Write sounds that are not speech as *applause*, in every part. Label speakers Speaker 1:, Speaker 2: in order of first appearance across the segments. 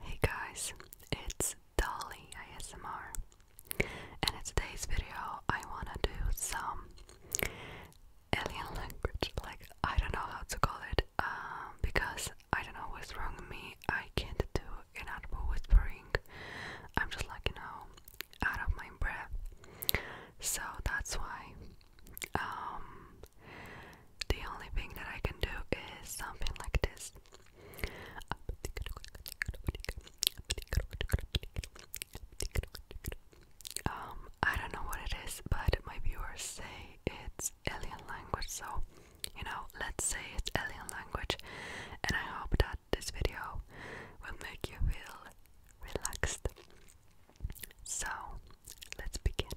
Speaker 1: Hey guys, it's Dolly ASMR, and in today's
Speaker 2: video I wanna do some alien language, like I don't know how to call it, um, because I don't know what's wrong with me, I can't do inaudible whispering, I'm just like, you know, out of my breath, so that's why, um, the only thing that I can do is something like this. Um, I don't know what it is, but my viewers say it's alien language, so you know, let's say it's alien language, and I hope that this video will make you feel relaxed. So, let's begin.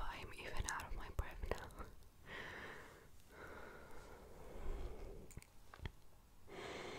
Speaker 2: I'm even out of my breath now. *laughs*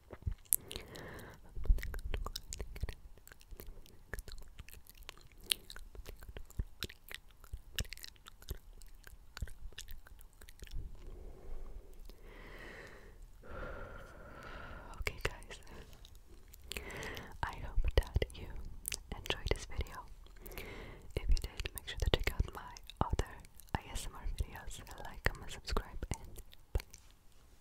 Speaker 2: Okay, guys, I hope that you enjoyed this video. If you did, make sure to check out my other ASMR videos, like, comment, subscribe, and bye.